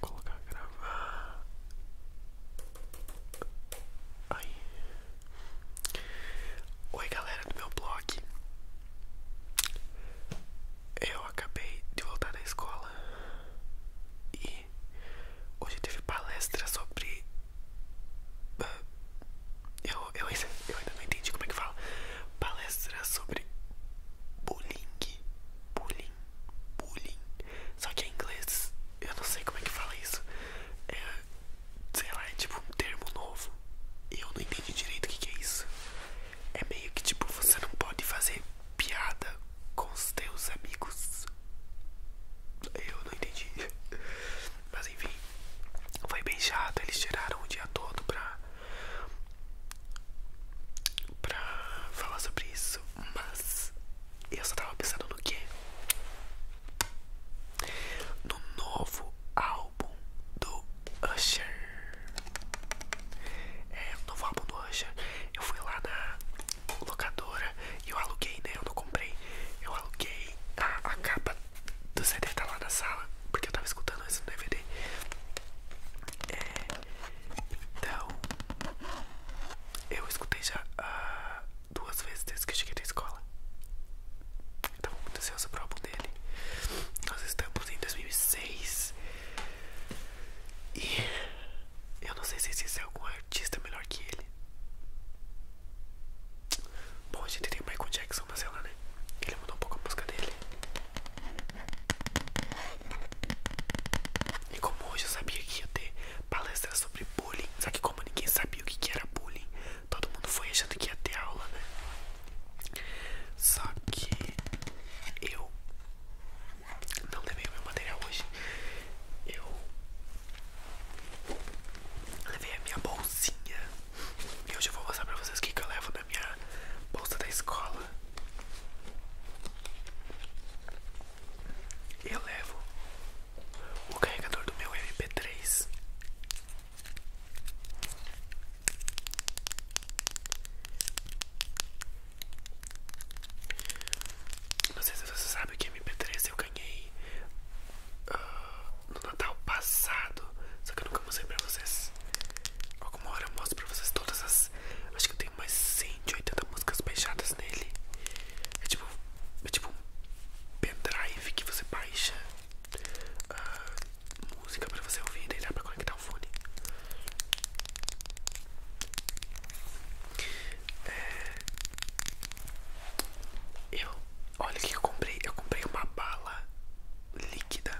colocar gravar Ai. Oi galera do meu blog Eu acabei de voltar da escola E hoje teve palestra sobre eu, eu, ainda não entendi como é que fala. Palestra sobre bullying. Bullying. Bullying. Só que em é inglês, eu não sei como é que fala isso. É, sei lá, é tipo um termo novo. Eu não entendi direito o que, é isso. É meio que tipo, você não pode fazer piada com os seus amigos. Eu não entendi. Mas enfim, foi bem chato. Eles tiraram o dia todo pra, pra falar sobre isso. Mas eu só tava pensando no quê? No novo álbum do Usher. É, o novo álbum do Usher. Eu fui lá na locadora e eu aluguei, né? Eu não comprei eu aluguei a, capa do CD tá lá na sala, porque eu tava escutando isso no DVD. É, então, eu escutei já ah, duas vezes desde que cheguei da escola. então muito ansioso pro álbum dele. Nós estamos em 2006 e eu não sei se existe é algum artista melhor que ele. Bom, a gente tem o Michael Jackson, mas ela, né? Ele mudou um pouco a música dele. E como hoje eu sabia que ia ter palestra sobre bullying, só que como ninguém sabia o que, que era bullying, todo mundo foi achando que ia ter aula, né? Só que eu não levei o meu material hoje. Eu Levei a minha bolsinha. E hoje eu vou mostrar pra vocês o que, eu levo na minha bolsa da escola. Eu levo o carregador do meu MP3. Não sei se você sabe que o é MP3 eu ganhei ah, no Natal passado. Só que eu nunca mostrei pra vocês. Alguma hora eu mostro pra vocês todas as. Acho que eu tenho mais 180 músicas baixadas nele. É tipo, é tipo um pendrive que você baixa ah, música pra você ouvir. Daí dá pra conectar o fone. É, eu, olha o que eu comprei. Eu comprei uma bala líquida.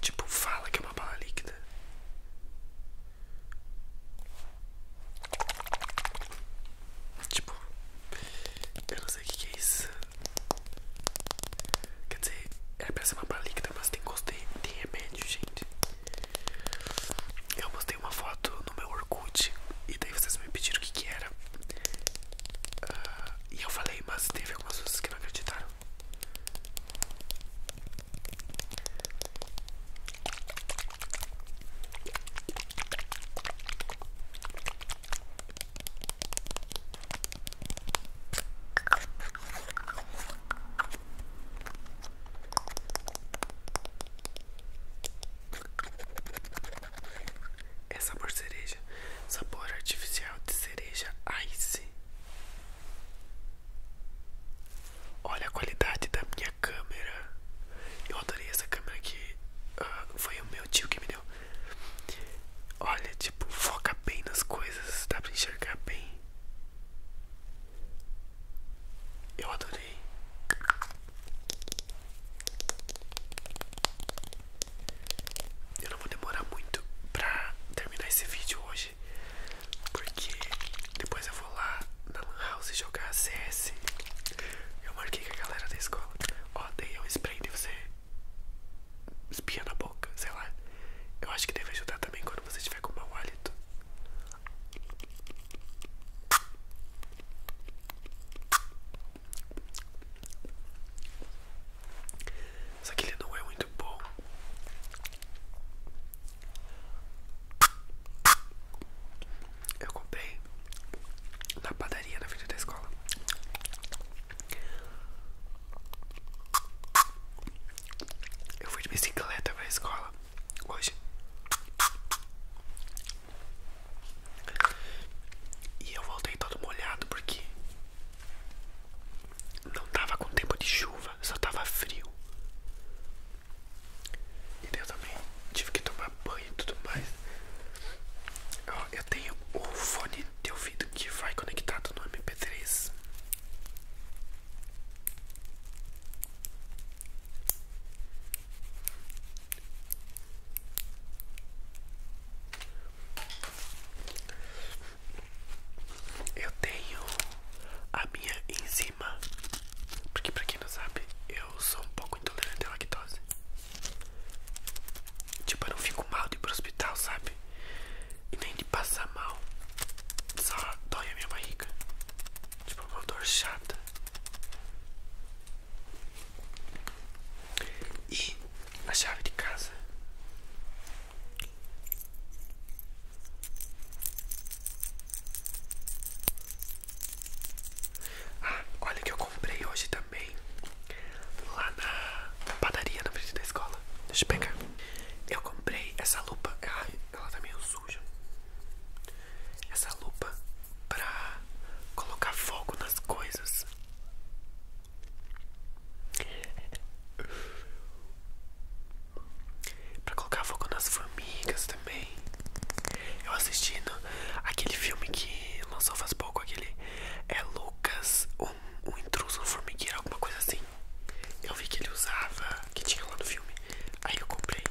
Tipo, fala que é uma bala líquida. Tipo, eu não sei o que é isso. Quer dizer, era é pra ser uma bala líquida, mas tem gosto de, de remédio, gente. Eu postei uma foto no meu Orkut e daí vocês me pediram o que que era. Ah, e eu falei, mas teve algumas pessoas que não acreditaram. É sabor cereja, sabor artificial de cereja ice. Olha a qualidade da minha câmera. Eu adorei essa câmera que ah, foi o meu tio que me deu. Olha, tipo, foca bem nas coisas, dá pra enxergar bem. Eu adorei. Eu não vou demorar muito pra terminar esse vídeo hoje, porque depois eu vou lá na Lan House jogar CS. Eu marquei com a galera da escola. Ó, dei um spray de você espia na boca, sei lá. Eu acho que deve ajudar também quando você tiver com mau hálito. Só que ele não é muito bom. Eu comprei na padaria na frente da escola. Eu fui de bicicleta para a escola hoje. E eu voltei todo molhado porque não tava com tempo de chuva, só tava frio. E eu também tive que tomar banho e tudo mais. Eu, eu tenho o fone teu ouvido que vai conectado no MP3. Eu tenho a minha enzima, porque pra quem não sabe, eu sou um pouco intolerante à lactose. Tipo, eu não fico mal de ir pro hospital, sabe? E nem de passar mal. Só dói a minha barriga. Tipo uma dor chata. E a chave de casa. Ah, olha que eu comprei hoje também. Lá na padaria na frente da escola. Deixa eu pegar. Eu comprei essa lupa. Ai, ela tá meio suja essa lupa pra colocar fogo nas coisas. Pra colocar fogo nas formigas também. Eu assistindo aquele filme que lançou faz pouco, aquele é Lucas, um, intruso, um formigueiro, alguma coisa assim. Eu vi que ele usava, que tinha lá no filme. Aí eu comprei.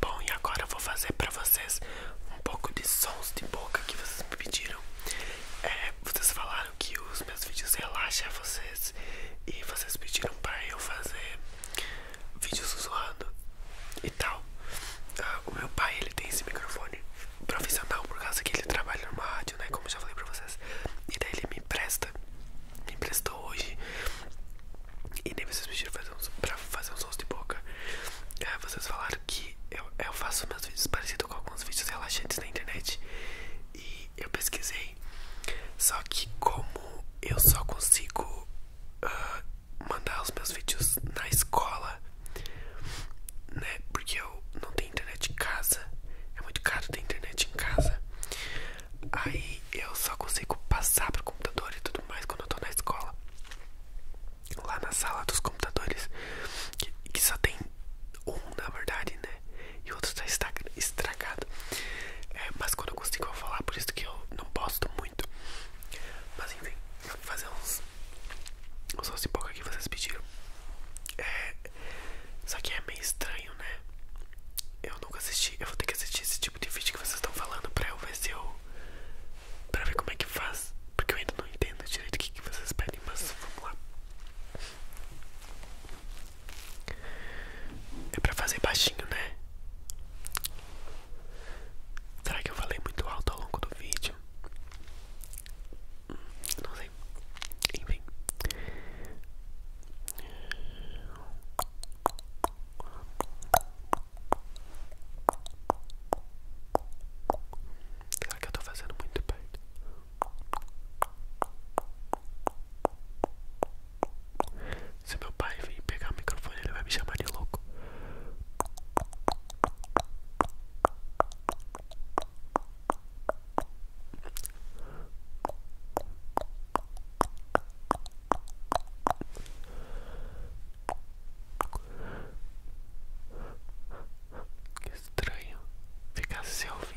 Bom, e agora eu vou fazer para vocês um pouco de sons de boca que vocês me pediram. É, vocês falaram que os meus vídeos relaxam vocês e vocês pediram para eu fazer vídeos zoando e tal. Ah, o meu pai, ele tem esse microfone profissional por causa que ele trabalha no rádio, né? Como eu já falei pra vocês. E daí ele me empresta, me emprestou hoje. E nem vocês pediram fazer pra fazer uns sons de boca. Ah, vocês falaram que eu, faço meus vídeos parecidos com alguns vídeos relaxantes na internet. E eu pesquisei. Só que, como eu só consigo ah, mandar os meus vídeos na escola, né? Porque eu não tenho internet em casa. É muito caro ter internet em casa. Aí eu só consigo passar pro computador e tudo mais quando eu tô na escola. Lá na sala dos computadores. Que, só tem um, na verdade, né? E o outro tá estragado. É, mas quando eu consigo vou falar, por isso que eu não gosto muito. Mas enfim, eu vou fazer uns mas só se pouco que vocês pediram. É, só que é meio estranho, né? Eu nunca assisti, eu vou ter que assistir esse tipo de vídeo que vocês estão falando pra eu ver se eu. pra ver como é que faz. Porque eu ainda não entendo direito o que, que vocês pedem, mas vamos lá. É pra fazer baixinho, né? Será que eu falei muito alto ao longo do vídeo? Não sei. Enfim. Será que eu estou fazendo muito perto? Se meu pai vir pegar o microfone, ele vai me chamar de louco. Que estranho ficar se ouvindo.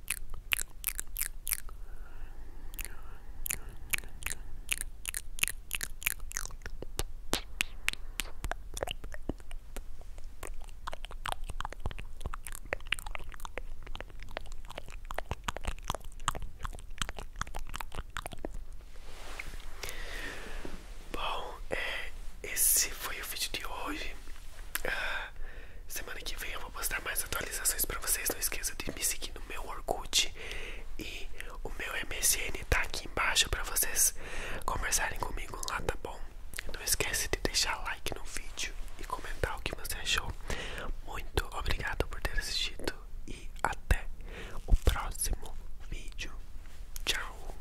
Bom, é, esse foi o vídeo de hoje. Ah, Semana que vem eu vou postar mais atualizações pra vocês. Não esqueça de me seguir no meu Orkut e o meu MSN tá aqui embaixo pra vocês conversarem comigo lá, tá bom? Não esqueça de deixar like no vídeo e comentar o que você achou. Muito obrigado por ter assistido e até o próximo vídeo. Tchau!